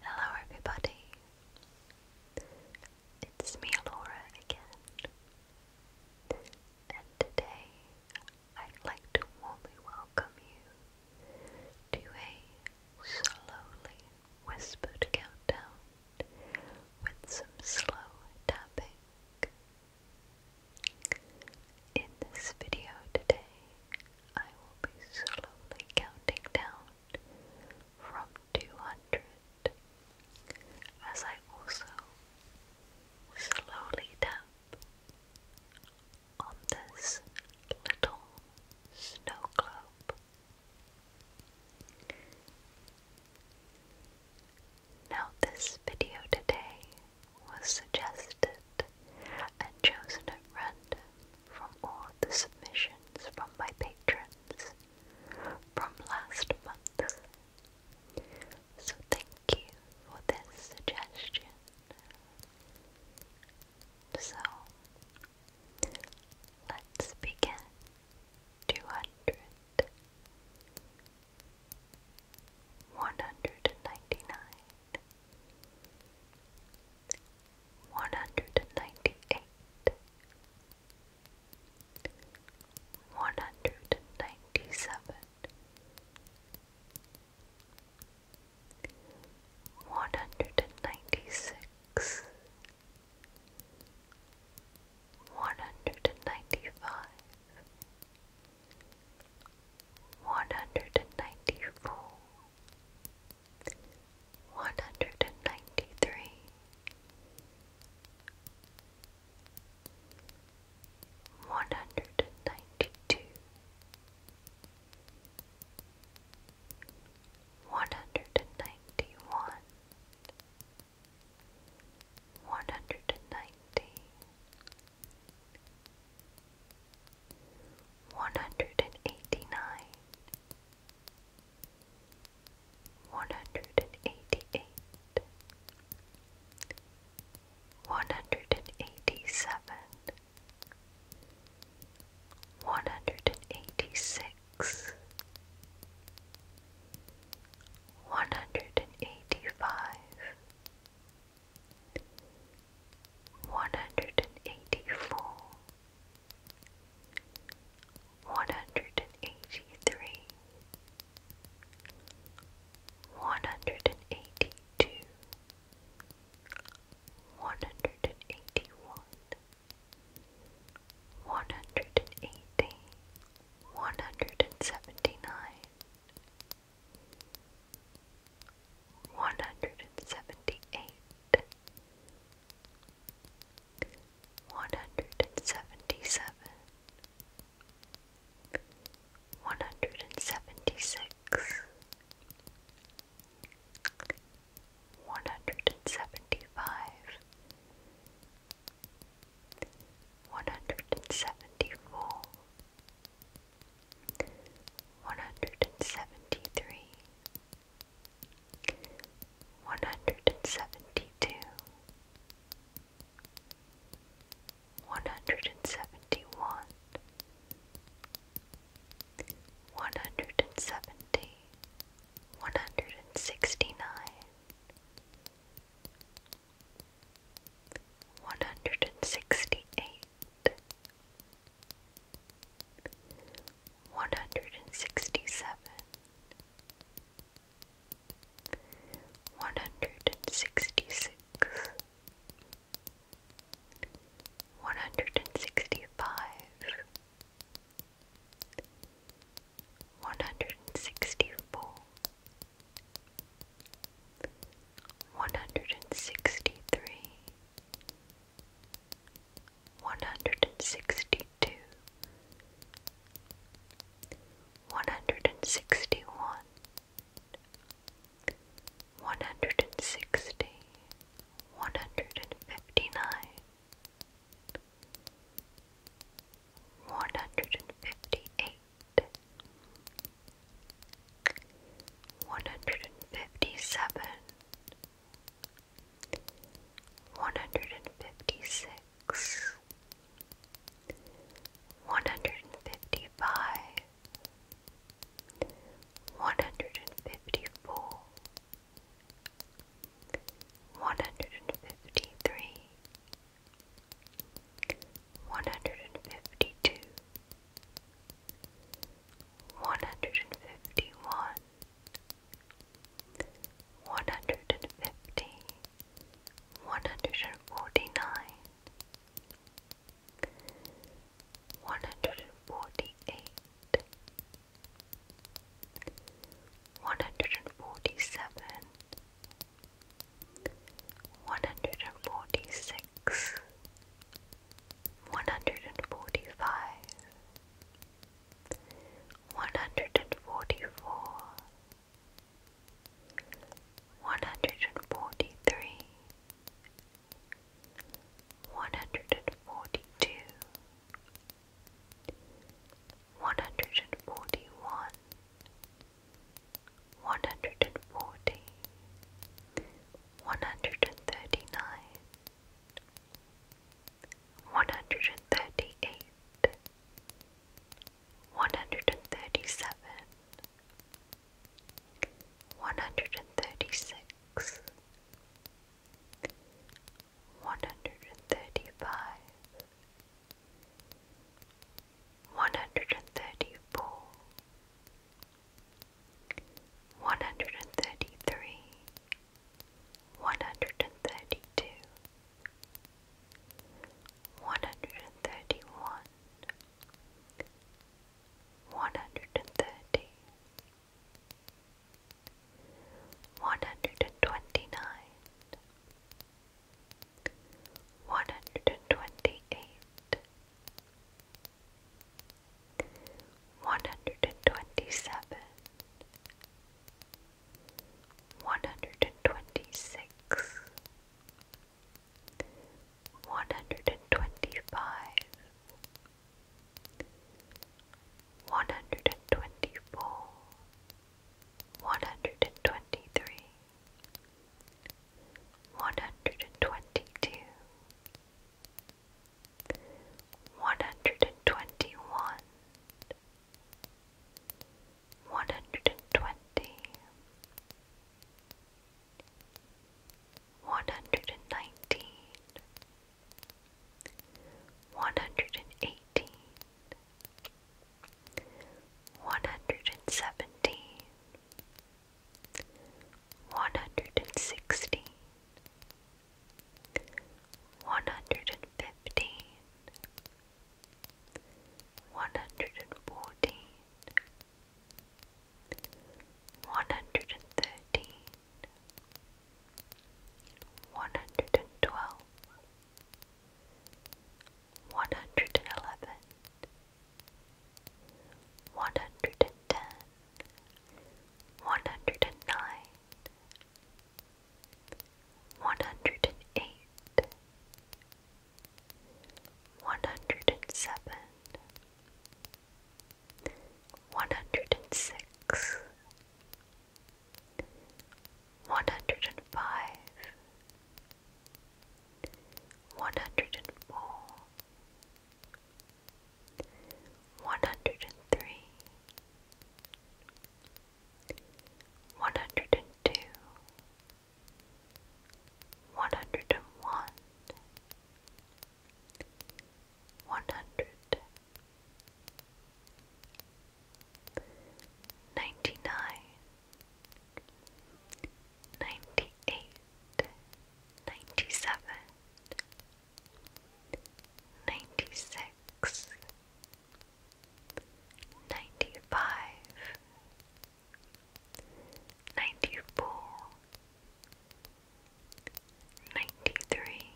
Hello, everybody. It's me, Laura, again. And today I'd like to warmly welcome you to a slowly whispered countdown with some slow tapping. In this video today, I will be slowly counting down from 200 as I also slowly down on this little snow globe. Now, this video today was suggested and chosen at random from all the submissions from my patrons from last month. So thank you for this suggestion. So let's begin 200 199 one hundred and ninety eight, one hundred and ninety seven, one hundred and ninety six, one hundred and ninety five. One hundred and ninety four, one hundred and ninety three, one hundred and ninety two, one hundred and ninety one, one hundred and ninety one hundred and eighty nine, one hundred and eighty eight, one hundred and eighty seven, one hundred and eighty six, one hundred and eighty five one hundred and eighty four, one hundred and eighty three, one hundred and eighty two, one hundred and eighty one, one hundred and eighty, one hundred and seventy nine one hundred and seventy eight, one hundred and seventy seven, one hundred and seventy six, one hundred and seventy five. One hundred and seventy four, one hundred and seventy three, one hundred and seventy two, one hundred and seventy one, one hundred one. One hundred and seventy. One hundred and sixty nine. nine. One hundred and sixty eight, one hundred and sixty seven, one hundred and sixty six, one hundred and sixty five, one hundred and sixty four one hundred and sixty three, one hundred and sixty two, one hundred and sixty one, one hundred and sixty, one hundred and fifty nine. One hundred and fifty eight, one hundred and fifty seven, one hundred and fifty six, one hundred and fifty five, one hundred and fifty four. One hundred and fifty three, one hundred and fifty two, one hundred and fifty one, one hundred and fifty, one hundred and forty nine, one hundred and forty eight, one hundred and forty seven. One hundred and forty six, forty five, one hundred and forty four, one hundred and forty three, one hundred and forty two, one hundred and forty one. One hundred and forty. One hundred and thirty nine. hundred and thirty nine, one hundred and thirty eight, one hundred and thirty seven, one hundred and thirty six, one hundred and thirty five one hundred and thirty four, one hundred and thirty three, one hundred and thirty two, one hundred and thirty one, one hundred and thirty. One hundred and twenty nine, one hundred and twenty eight, one hundred and twenty seven, one hundred and twenty six, one hundred and twenty five. One hundred and twenty four, one hundred and twenty three, one hundred and twenty two, one hundred and twenty one, one hundred and One hundred and nineteen. One hundred and eighteen. hundred and eighteen. One hundred and seventeen, one hundred and sixteen, one hundred and fifteen, one hundred and fourteen, one hundred and thirteen, one hundred and twelve, one hundred and eleven. One hundred and fifteen. 114 One hundred and thirteen. One hundred and twelve. 111 one hundred and ten, one hundred and nine, one hundred and eight, one hundred and seven, one hundred and six, one hundred and five one hundred and four, one hundred and three, one hundred and two, one One hundred ninety nine. Ninety-eight, ninety-seven, ninety-six, ninety-five, ninety-four, ninety-three,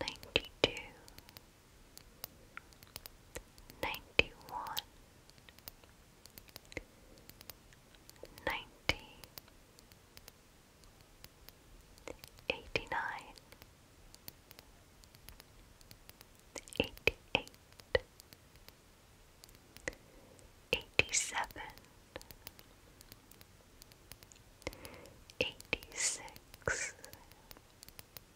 ninety-two. 91 ninety one, ninety, eighty nine, eighty eight, eighty seven, eighty six. 86 85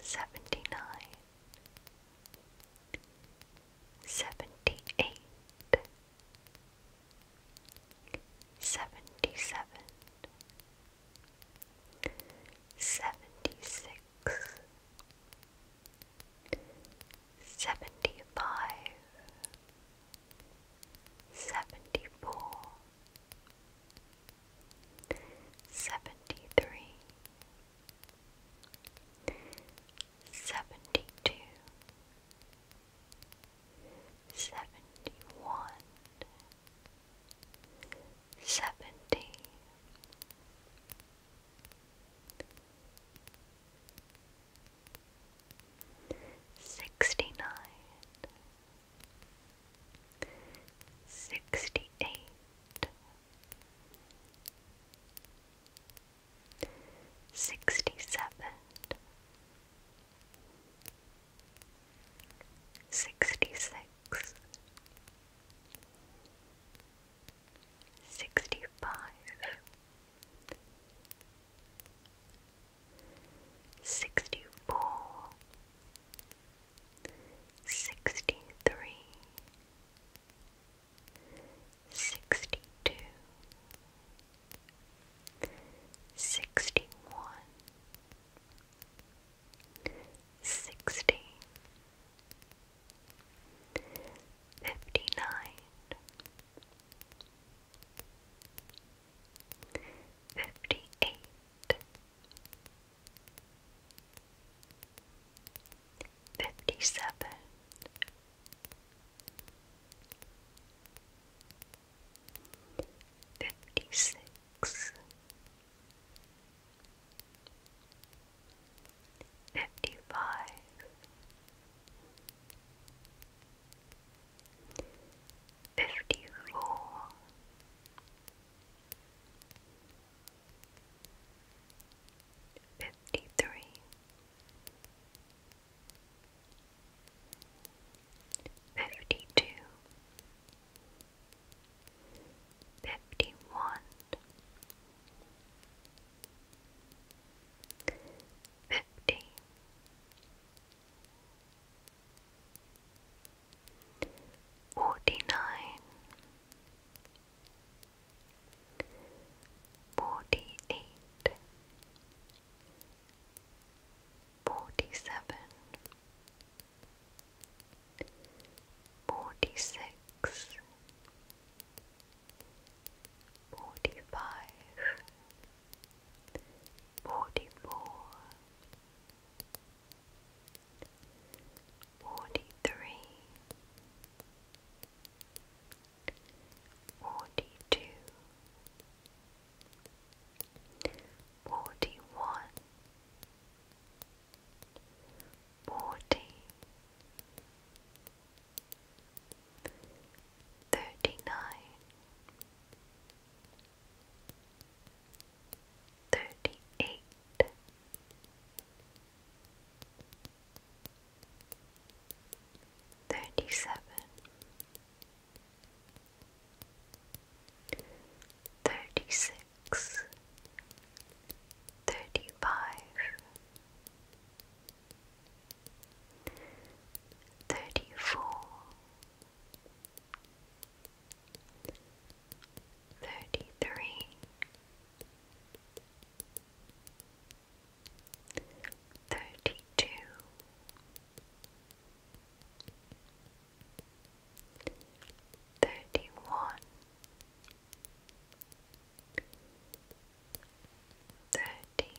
seventy nine, seventy eight, seventy seven, seventy six, seventy five, seventy four seventy three, seventy two, seventy one, seventy. Sixty nine, sixty eight, sixty seven, sixty six, sixty five. Sixty four, sixty-three, sixty-two, sixty-one, sixty, fifty-nine fifty-eight, fifty-seven, fifty-six, fifty-five fifty four. Fifty three, fifty two, fifty one, fifty, forty nine, forty eight, forty seven, forty six, forty five, forty four. 43 Forty three, forty two, forty one, forty, thirty nine thirty-eight, thirty-seven, thirty-six, thirty-five, thirty-four thirty three, thirty two, thirty one. Thirty,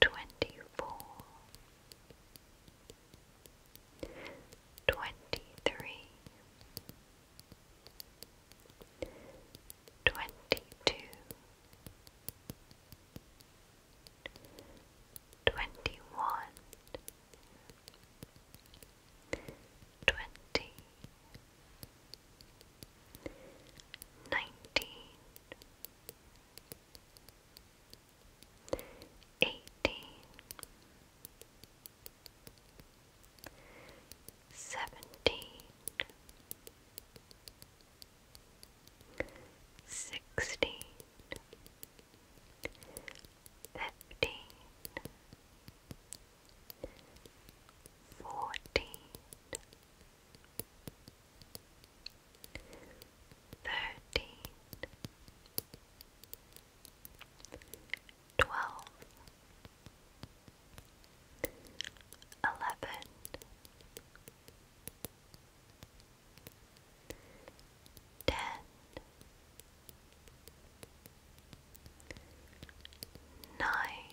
twenty four, twenty three, twenty two, twenty one, twenty nineteen, eighteen, seventeen, sixteen, fifteen. Fourteen, thirteen, twelve, eleven, ten, nine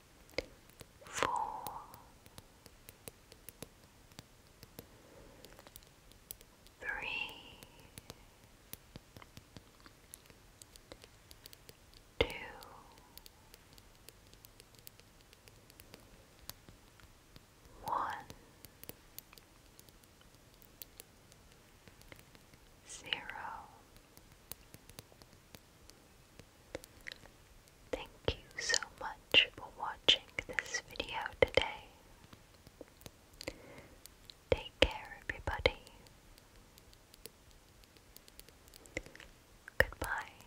four, three, two, one, zero. Thank you so much for watching this video today. Take care, everybody. Goodbye.